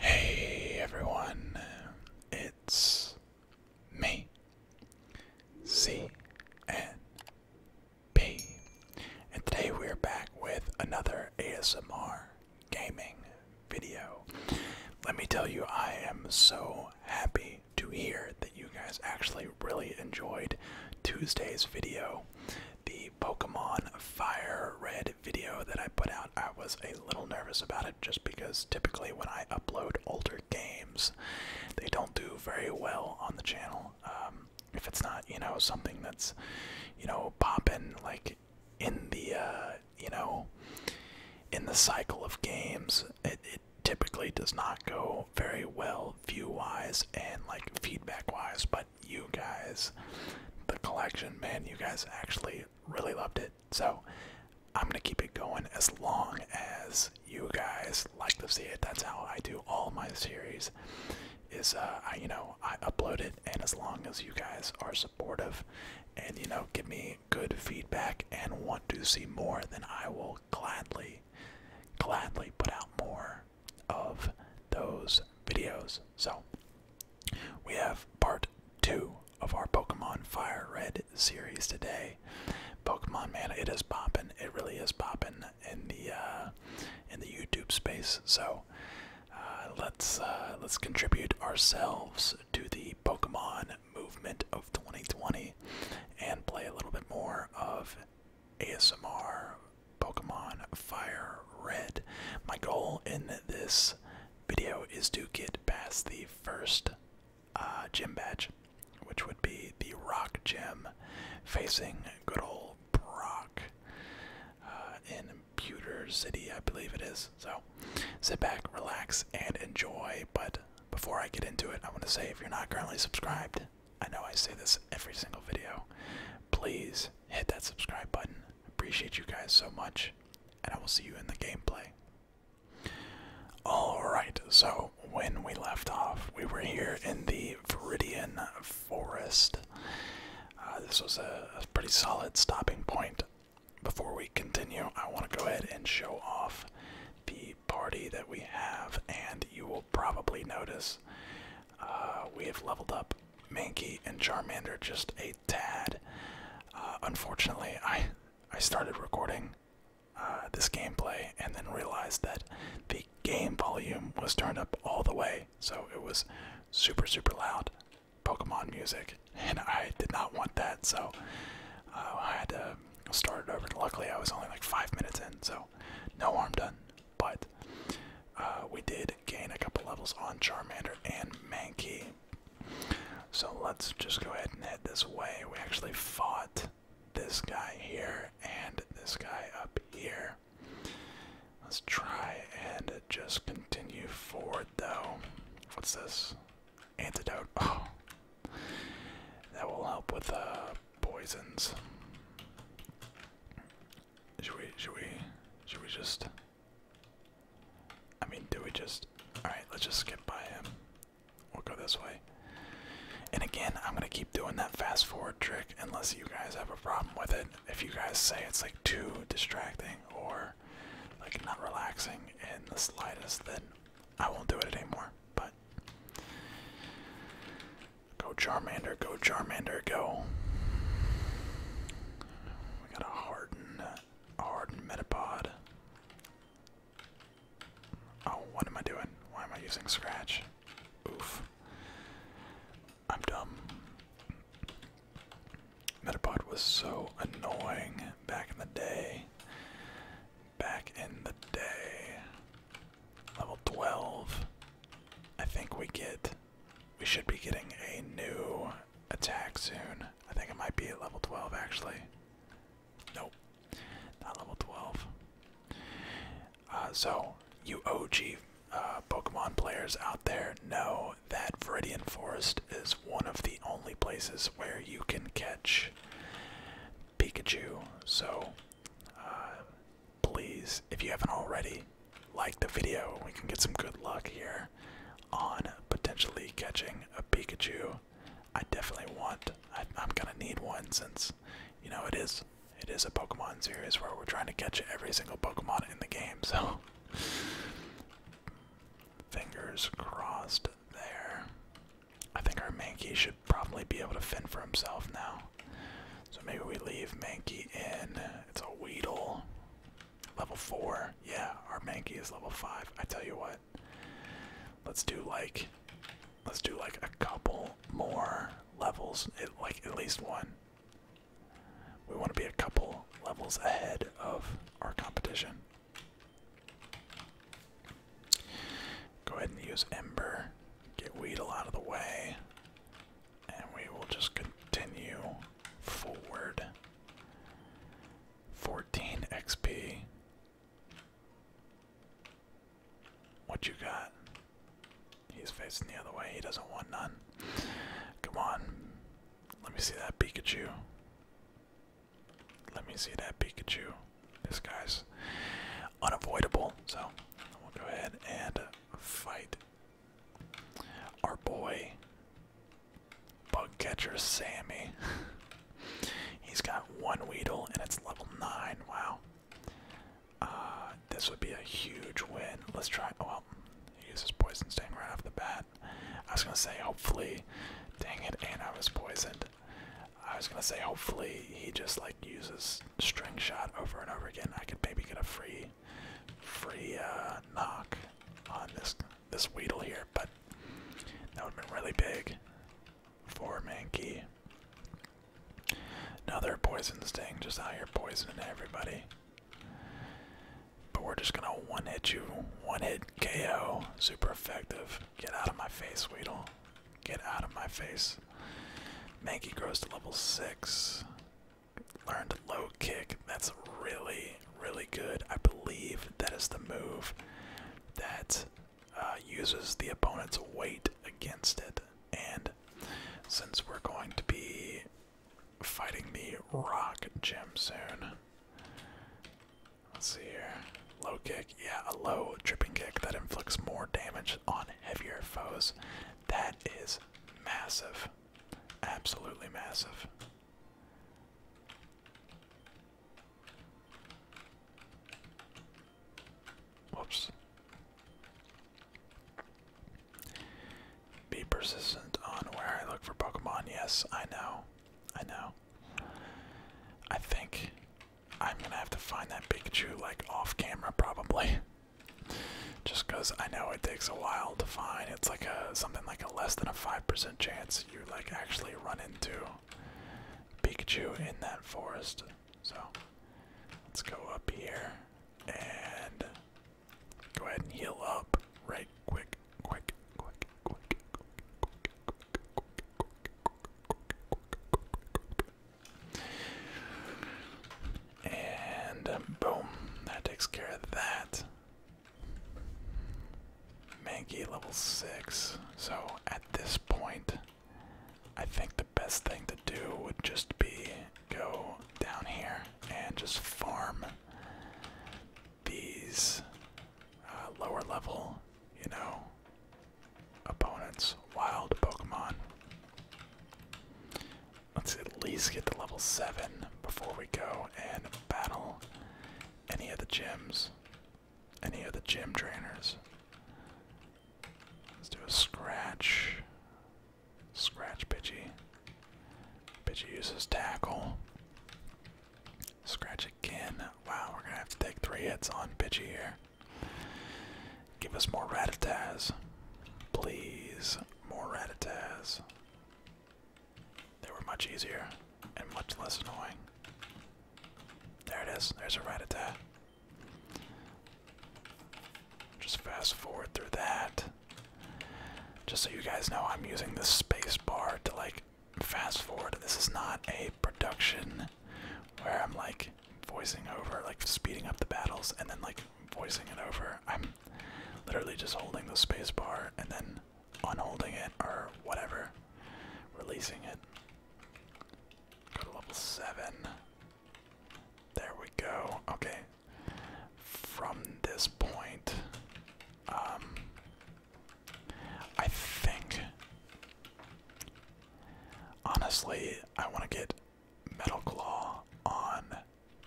Hey everyone, it's me, C N P, and today we're back with another ASMR gaming video. Let me tell you, I am so happy to hear that you guys actually really enjoyed Tuesday's video. The Pokemon Fire Red video that I put out, I was a little nervous about it just because typically when I upload older games, they don't do very well on the channel. Um, if it's not, you know, something that's, you know, popping like in the, uh, you know, in the cycle of games, it, typically does not go very well view wise and like feedback wise, but you guys, the collection, man, you guys actually really loved it. So I'm gonna keep it going as long as you guys like to see it. That's how I do all my series. Is uh, I you know I upload it, and as long as you guys are supportive, and you know give me good feedback and want to see more, then I will gladly, gladly put out more of those videos. So, we have part two of our Pokemon Fire Red series today. Pokemon, man, it is popping. It really is popping in the uh, in the YouTube space. So uh, let's uh, let's contribute ourselves to the Pokemon movement of 2020 and play a little bit more of ASMR Pokemon Fire Red. My goal in this video is to get past the first uh, gym badge, which would be the Rock Gym facing good old Brock uh, in Pewter City, I believe it is. So sit back, relax, and enjoy. But before I get into it, I want to say if you're not currently subscribed, I know I say this every single video, please hit that subscribe button. Appreciate you guys so much, and I will see you in the gameplay. Alright, so when we left off, we were here in the Viridian Forest. Uh, this was a pretty solid stopping point. Before we continue, I want to go ahead and show off the party that we have, and you will probably notice uh, we have leveled up Mankey and Charmander just a tad. Uh, unfortunately, I I started recording uh, this gameplay and then realized that the game volume was turned up all the way, so it was super super loud Pokemon music, and I did not want that, so I had to started over. Luckily, I was only like five minutes in, so no harm done. But uh, we did gain a couple levels on Charmander and Mankey. So let's just go ahead and head this way. We actually fought this guy here and this guy up here. Let's try and just continue forward though. What's this? antidote. Oh, that will help with the uh, poisons. Should we? Should we? Should we just? I mean, do we just? All right, let's just skip by him. We'll go this way. And again, I'm gonna keep doing that fast forward trick unless you guys have a problem with it. If you guys say it's like too distracting or like not relaxing in the slightest, then I won't do it anymore, but. Go Charmander, go Charmander, go. We got a hardened, hardened Metapod. Oh, what am I doing? Why am I using Scratch? Oof. I'm dumb. Metapod was so annoying back in the day back in the day. Level 12. I think we get. We should be getting a new attack soon. I think it might be at level 12 actually. Nope, not level 12. Uh, so, you OG uh, Pokemon players out there know that Viridian Forest is one of the only places where you can catch Pikachu. So um, please, if you haven't already, like the video. We can get some good luck here on potentially catching a Pikachu. I definitely want. I'm gonna need one since you know it is. It is a Pokemon series where we're trying to catch every single Pokemon in the game. So fingers crossed there. I think our Mankey should probably be able to fend for himself now. So maybe we leave Mankey in. It's a Weedle. Level 4. Yeah, our Mankey is level 5. I tell you what. Let's do like let's do like a couple more levels. like at least one. We want to be a couple levels ahead of our competition. Go ahead and use Ember. Get Weedle out of the way. And we will just continue forward. 14 XP. What you got? He's facing the other way. He doesn't want none. Come on. Let me see that Pikachu. Let me see that Pikachu. This guy's unavoidable, so we'll go ahead and fight our boy bug catcher Sammy. He's got one Weedle and it's level 9. Wow. Uh, this would be a huge win. Let's try. Oh, well, he uses Poison Sting right off the bat. I was going to say, hopefully. Dang it, and I was poisoned. I was gonna say hopefully he just like uses string shot over and over again. I could maybe get a free free uh knock on this this Weedle here, but that would have been really big for Manky. Another poison sting, just out here poisoning everybody. But we're just gonna one hit you, one hit KO. Super effective. Get out of my face, Weedle. Get out of my face. Mankey grows to level 6. Learned low kick. That's really, really good. I believe that is the move that uh, uses the opponent's weight against it. And since we're going to be fighting the rock gym soon, Let's see here. Low kick. Yeah, a low tripping kick that inflicts more damage on heavier foes. That is massive. Absolutely massive. Whoops. Be persistent on where I look for Pokemon. Yes, I know. I know. I think I'm gonna have to find that Pikachu like off camera probably. Just because I know it takes a while to find. It's like a something like a less than a five percent chance you like actually run into Pikachu in that forest. So let's go up here and go ahead and heal up right quick, quick, quick, quick, quick, quick, quick, and um, boom, that takes care of that. Mankey level 6. So at this point, I think the best thing to do would just be go down here and just farm these uh, lower level, you know, opponents, wild Pokemon. Let's at least get to level 7 before we go and battle any of the gyms, any of the gym trainers. Let's do a scratch. Scratch Pidgey. Pidgey uses tackle. Scratch again. Wow, we're gonna have to take three hits on bitchy here. Give us more Ratataz. Please, more Ratataz. They were much easier and much less annoying. There it is. There's a ratataz. Just fast forward through that. Just so you guys know, I'm using the space bar to like fast forward. This is not a production where I'm like voicing over, like speeding up the battles and then like voicing it over. I'm literally just holding the space bar and then unholding it or whatever, releasing it. Go to level 7. There we go. Okay. From this point, um, I think. Honestly, I want to get Metal Claw on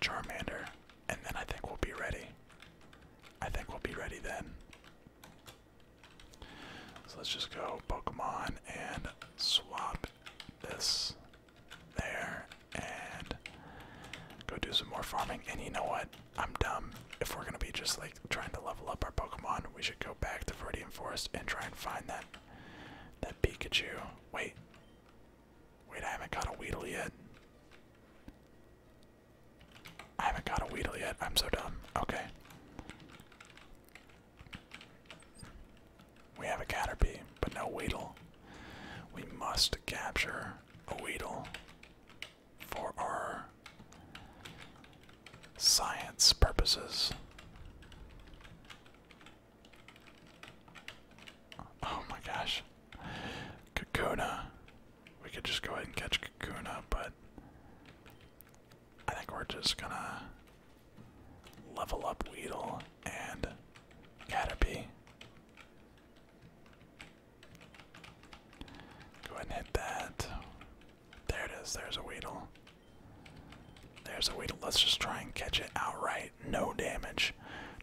Charmander, and then I think we'll be ready. I think we'll be ready then. So let's just go Pokemon and swap this there and go do some more farming. And you know what? I'm dumb. If we're gonna be just like trying to level up our Pokemon, we should go back to Viridian Forest and try and find that that Pikachu. Wait. Wait, I haven't got a Weedle yet. I haven't got a Weedle yet. I'm so dumb. Okay. We have a Caterpie, but no Weedle. We must capture a Weedle for our science purposes. Oh my gosh. Kakuna. We could just go ahead and catch Kakuna, but I think we're just gonna level up Weedle and Caterpie. Go ahead and hit that. There it is. There's a Weedle. There's a Weedle. Let's just try and catch it outright. No damage.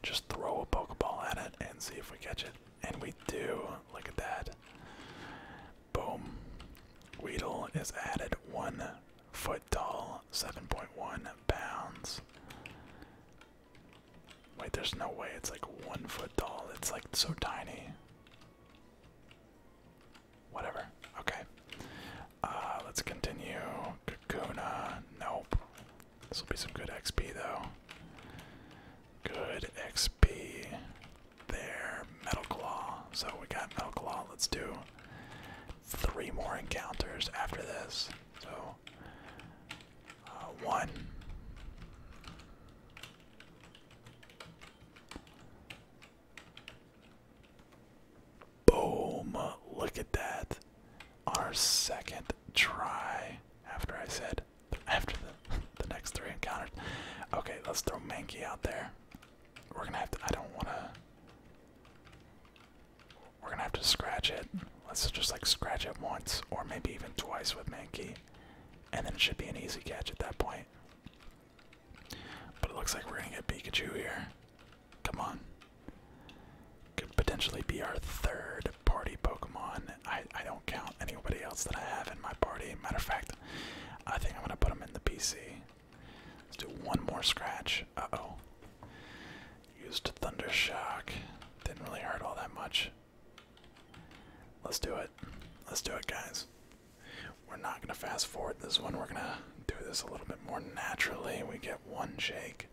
Just throw a Pokeball at it and see if we catch it. And we do. Look at that. Boom. Weedle is added one foot tall, 7.1 pounds. Wait, there's no way it's like one foot tall. It's like so tiny. Whatever. Okay. Uh, let's continue. Kakuna. Nope. This will be some good XP though. Good XP. There. Metal Claw. So we got Metal Claw. Let's do three more encounters after this. So, uh, one. Boom! Look at that. Our second try after I said after the, the next three encounters. Okay, let's throw Manky out there. We're gonna have to. I don't wanna. We're gonna have to scratch it. Let's just like scratch it once or maybe even twice with Manky and then it should be an easy catch at that point. But it looks like we're gonna get Pikachu here. Come on. Could potentially be our third party Pokemon. I, I don't count anybody else that I have in my party. Matter of fact, I think I'm gonna put them in the PC. Let's do one more scratch. Uh oh. Used a Thunder Shock. Didn't really hurt all that much. Let's do it. Let's do it, guys. We're not going to fast forward this one. We're going to do this a little bit more naturally. We get one shake,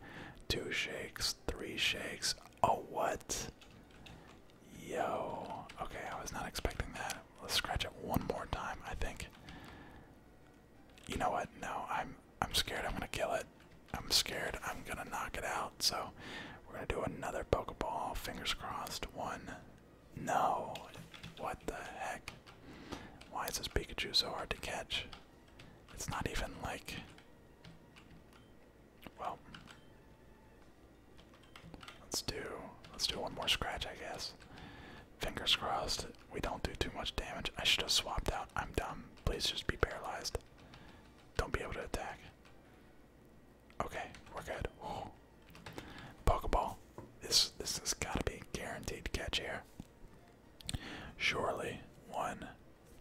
two shakes, three shakes. Oh, what? Yo. Okay, I was not expecting that. Let's scratch it one more time, I think. You know what? No, I'm I'm scared I'm going to kill it. I'm scared I'm going to knock it out. So we're gonna do another Pokeball. Fingers crossed. One. No. What the heck? Why is this Pikachu so hard to catch? It's not even like. Well. Let's do. Let's do one more scratch, I guess. Fingers crossed. We don't do too much damage. I should have swapped out. I'm dumb. Please just be paralyzed. Don't be able to attack. Okay, we're good. Pokeball. This this has gotta be a guaranteed catch here. Surely. One,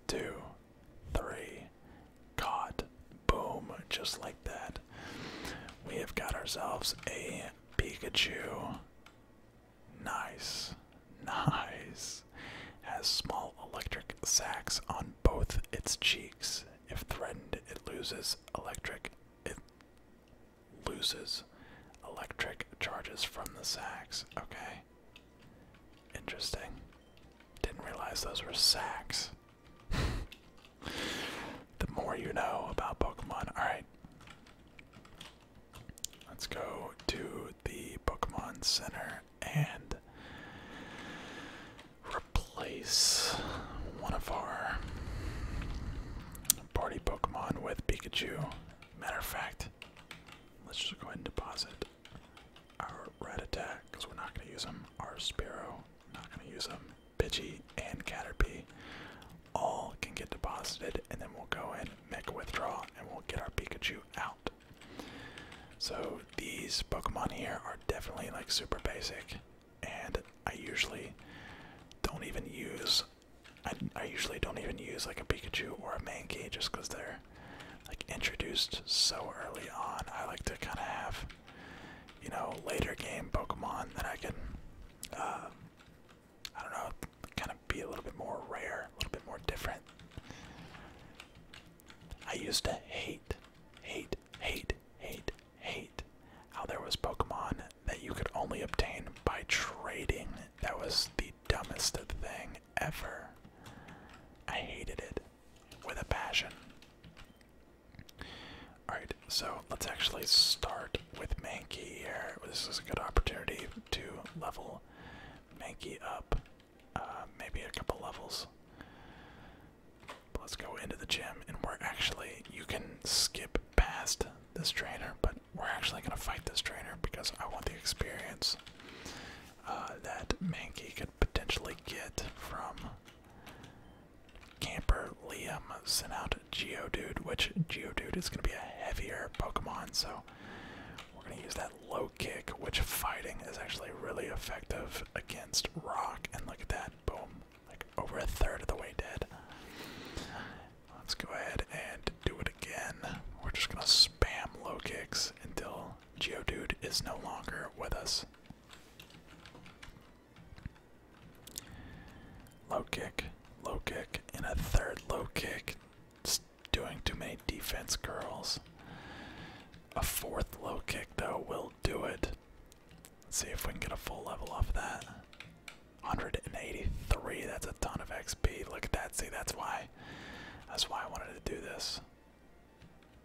two, three. Caught. Boom. Just like that. We have got ourselves a Pikachu. Nice. Nice. Has small electric sacs on both its cheeks. If threatened, it loses electric. It loses electric charges from the sacks. Okay. Interesting. Didn't realize those were sacks. the more you know about Pokemon. Alright. Let's go to the Pokemon Center and replace one of our party Pokemon with Pikachu. Matter of fact, let's just go ahead and deposit our Attack because we're not going to use them. Our Sparrow, not going to use them. Pidgey and Caterpie all can get deposited, and then we'll go and make a withdrawal and we'll get our Pikachu out. So these Pokemon here are definitely like super basic, and I usually don't even use. I, usually don't even use like a Pikachu or a Mankey just because they're like introduced so early on. I like to kind of have, you know, later game Pokemon that I can, uh, I don't know, kind of be a little bit more rare, a little bit more different. I used to hate, hate hate, hate, hate, how there was Pokemon that you could only obtain by trading. That was the dumbest thing ever. I hated it with a passion. Alright, so let's actually start with Mankey here. This is a good opportunity to level Mankey up. Uh, maybe a couple levels let's go into the gym, and we're actually, you can skip past this trainer, but we're actually going to fight this trainer because I want the experience uh, that Manky could potentially get from Camper, Liam, sent out Geodude, which Geodude is going to be a heavier Pokemon, so we're going to use that low kick, which fighting is actually really effective against rock, and look at that, boom, like over a third of the way dead. Let's go ahead and do it again. We're just gonna spam low kicks until Geo Dude is no longer with us. Low kick, low kick, and a third low kick. It's doing too many defense curls. A fourth low kick, though, will do it. Let's see if we can get a full level off that. 183, that's a ton of XP. Look at that, see that's why that's why I wanted to do this.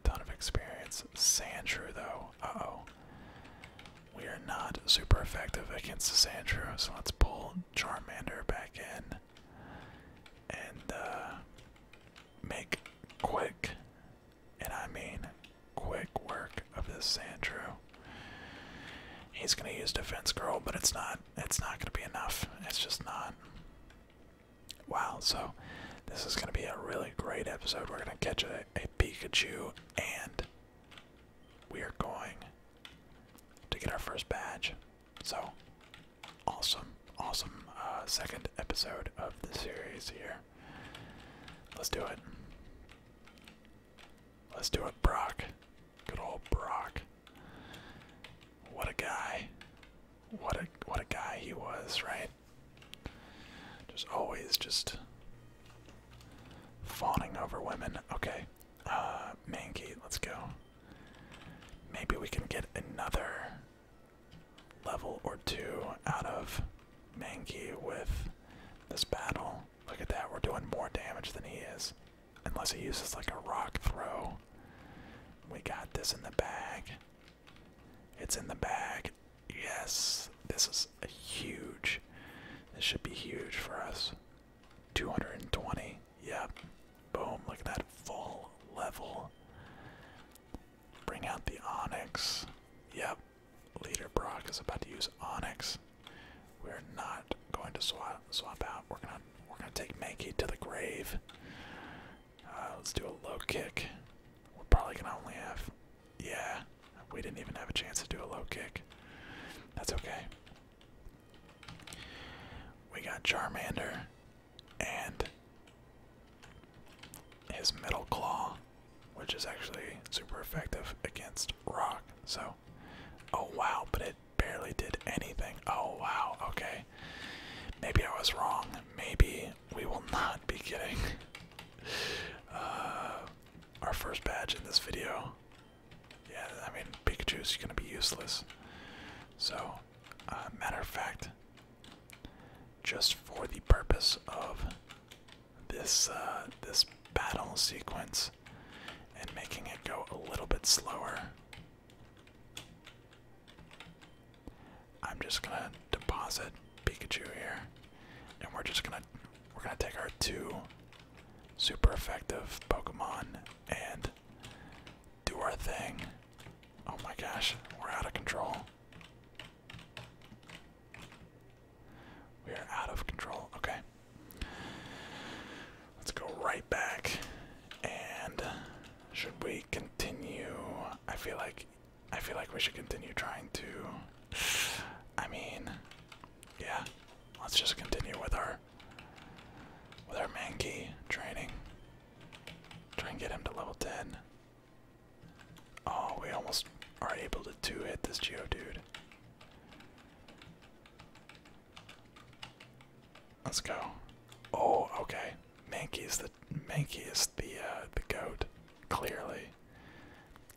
Ton of experience. Sandshrew though. Uh-oh. We are not super effective against the Sandshrew, so let's pull Charmander back in and uh make quick and I mean, quick work of this Sandro. He's gonna use defense girl, but it's not it's not gonna be enough. It's just not. Wow, so this is gonna be a really great episode. We're gonna catch a Pikachu and we are going to get our first badge. So awesome awesome uh, second episode of the series here. Let's do it. Let's do it, Brock. Good old Brock. What a guy. What a what a guy he was, right? Just always just fawning over women. Okay. Uh Mankey, let's go. Maybe we can get another level or two out of Mangi with this battle. Look at that, we're doing more damage than he is. Unless he uses like a rock throw. We got this in the bag. It's in the bag. Yes, this is a huge. This should be huge for us. 220. Yep. Boom. Look at that full level. Bring out the Onyx. Yep. Leader Brock is about to use Onyx. We're not going to swap swap out. We're gonna we're gonna take Mankey to the grave. Uh, let's do a low kick. We're probably gonna only have yeah. We didn't even have a chance to do a low kick. That's okay. We got Charmander and his middle claw, which is actually super effective against rock. So, oh wow, but it barely did anything. Oh wow, okay. Maybe I was wrong. Maybe we will not be getting uh, our first badge in this video. Yeah, I mean, Pikachu's gonna be useless. So, uh, matter of fact, just for the purpose of this uh, this battle sequence and making it go a little bit slower. I'm just gonna deposit Pikachu here, and we're just gonna we're gonna take our two super effective Pokemon and do our thing. Oh my gosh, we're out of control. We are out of control. Okay. Let's go right back. And should we continue? I feel like I feel like we should continue trying to I mean yeah. Let's just continue with our with our Mankey training. Try and get him to level 10. Oh, we almost are able to two hit this Geodude. Let's go. Oh, okay. Mankey is the Mankey is the uh, the goat. Clearly,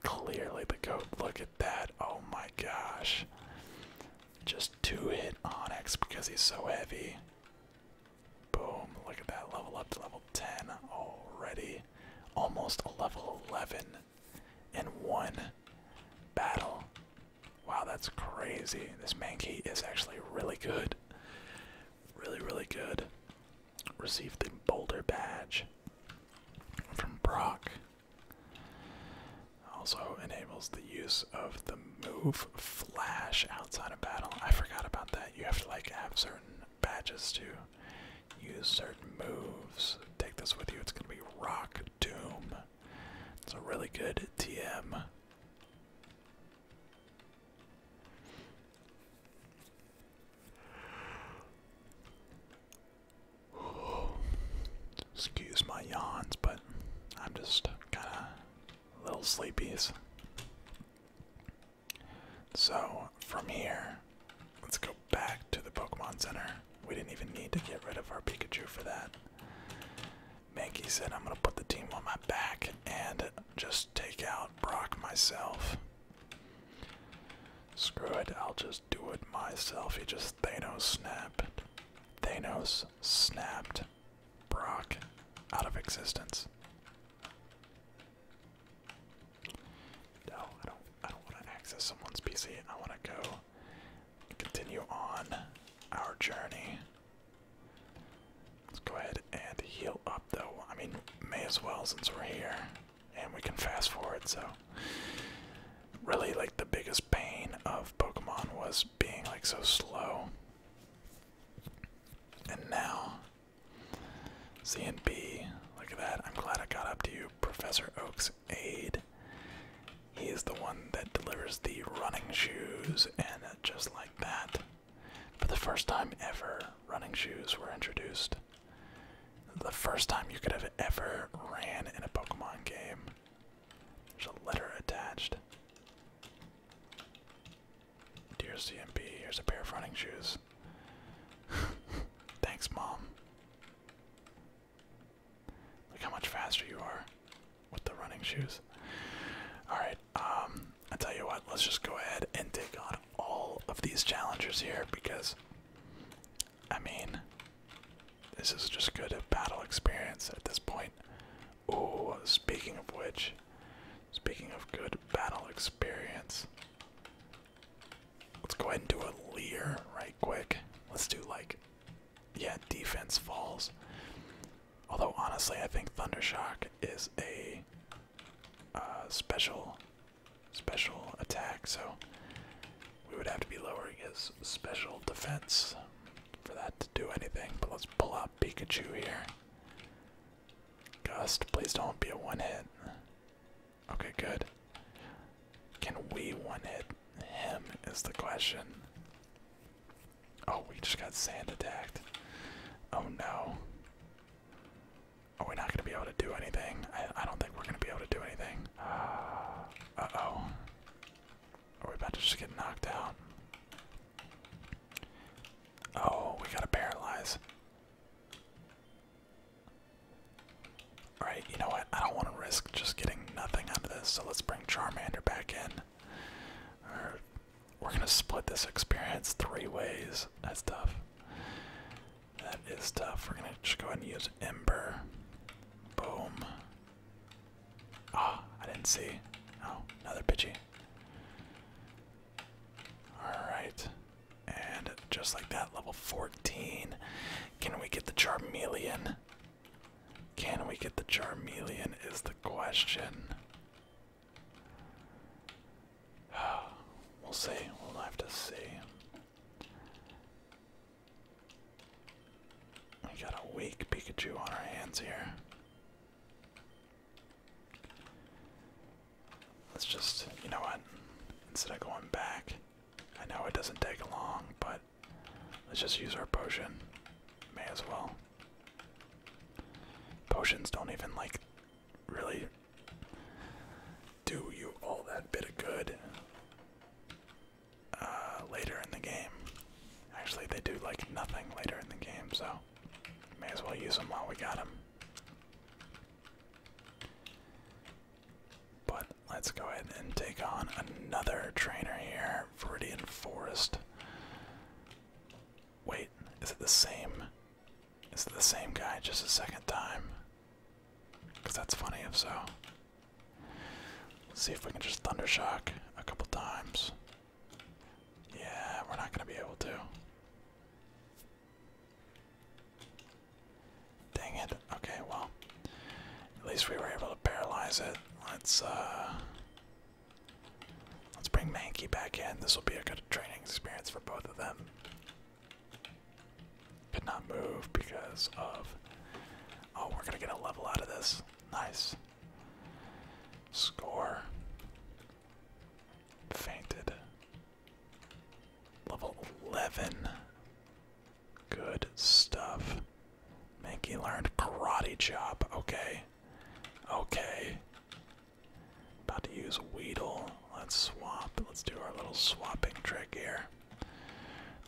clearly the goat. Look at that. Oh my gosh. Just two hit Onyx because he's so heavy. Boom, look at that, level up to level 10 already. Almost a level 11 in one battle. Wow, that's crazy. This Mankey is actually really good. Really, really good. Received the Boulder Badge from Brock. Also enables the use of the move Flash outside of battle. I forgot about that. You have to like have certain badges to use certain moves. Take this with you. It's gonna be Rock Doom. It's a really good TM. Excuse my yawns, but I'm just kind of little sleepies. So from here, let's go back to the Pokemon Center. We didn't even need to get rid of our Pikachu for that. Mankey said, I'm going to put the team on my back and just take out Brock myself. Screw it, I'll just do it myself. He just Thanos snapped. Thanos snapped Brock out of existence. No, I don't. I don't want to access someone's PC. I want to go and continue on our journey. Let's go ahead and heal up, though. I mean, may as well since we're here, and we can fast forward. So, really, like the biggest pain of Pokemon was being like so slow, and now C and B. Look at that. I'm glad I got up to you, Professor Oak's aide. He is the one that delivers the running shoes, and just like that, for the first time ever, running shoes were introduced. The first time you could have ever ran in a Pokemon game. There's a letter attached. Dear CMP, here's a pair of running shoes. Thanks, Mom. Look how much faster you are with the running shoes. Alright, um, I tell you what, let's just go ahead and take on all of these challengers here because, I mean, this is just good battle experience at this point. Oh, speaking of which, Speaking of good battle experience, let's go ahead and do a leer right quick. Let's do like, yeah, defense falls. Although honestly, I think Thunder Shock is a uh, special, special attack, so we would have to be lowering his special defense for that to do anything. But let's pull out Pikachu here. Gust, please don't be a one hit. Okay, good. Can we one hit him? Is the question. Oh, we just got sand attacked. Oh no. Are we not going to be able to do anything? I, don't think we're going to be able to do anything. Uh oh. Are we about to just get knocked out? Oh, we gotta paralyze. Alright, you know what? I don't want to risk just getting nothing out of this, so let's bring Charmander back in. We're gonna split this experience three ways. That's tough. That is tough. We're gonna just go ahead and use Ember. Boom. Ah, oh, I didn't see. Oh, another Pidgey. Alright. And just like that, level 14. Can we get the Charmeleon? Can we get the Charmeleon is the question. We'll see. We'll have to see. We got a weak Pikachu on our hands here. Let's just, you know what? Instead of going back, I know it doesn't take long, but let's just use our potion. May as well. Potions don't even, like, really do you all that bit of good uh, later in the game. Actually, they do, like, nothing later in the game, so May as well use them while we got them. But let's go ahead and take on another trainer here, Viridian Forest. Wait, is it the same? Is it the same guy just a second time? Because that's funny if so. see if we can just Thundershock a couple times. Yeah, we're not going to be able to. Dang it. Okay, well. At least we were able to paralyze it. Let's uh Let's bring Manky back in. This will be a good training experience for both of them. Could not move because of Oh, we're gonna get a level out of this. Nice. Score. Fainted. Level 11. Good stuff. Minkey learned karate chop. Okay. Okay. About to use Weedle. Let's swap. Let's do our little swapping trick here.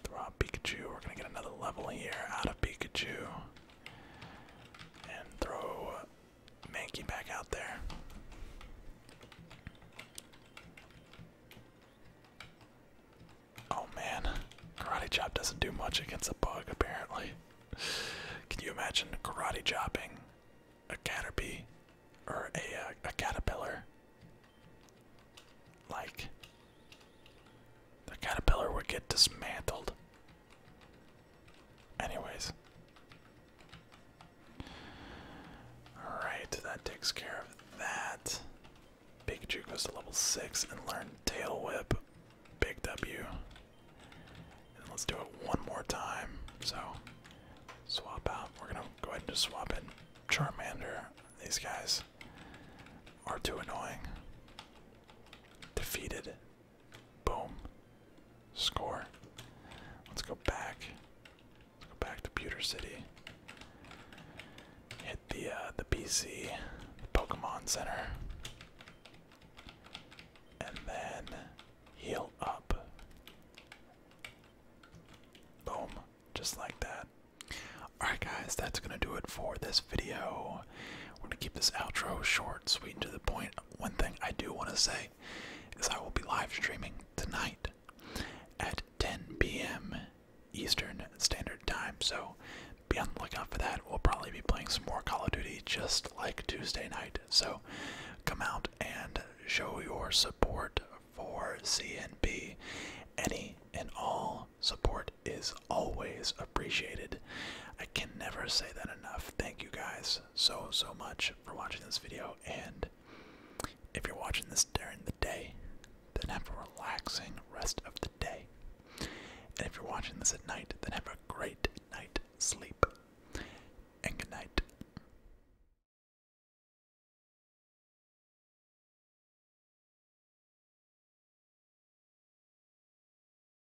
Throw Pikachu. We're going to get another level here out of Pikachu. And throw Mankey back out there. Oh man, karate chop doesn't do much against a bug apparently. Can you imagine karate chopping a caterpie or a, uh, a caterpillar? Like, the caterpillar would get dismantled. Anyways. Alright, that takes care of that. Pikachu goes to level 6 and learn Tail Whip. Big W. let's do it one more time. So, swap out. We're going to go ahead and just swap in Charmander. These guys are too annoying. Defeated. Boom. Score. Let's go back. Let's go back to Pewter City. Hit the uh, the PC, Pokemon Center, and then heal up. Boom, just like that. Alright guys, that's gonna do it for this video we're gonna keep this outro short, sweet, and to the point. One thing I do want to say is I will be live streaming tonight at 10 p.m. Eastern Standard Time. So be on the lookout for that. We'll probably be playing some more Call of Duty just like Tuesday night. So come out and show your support for C&B. Any and all support is always appreciated appreciated. I can never say that enough. Thank you guys so, so much for watching this video. And if you're watching this during the day, then have a relaxing rest of the day. And if you're watching this at night, then have a great night sleep. And good night.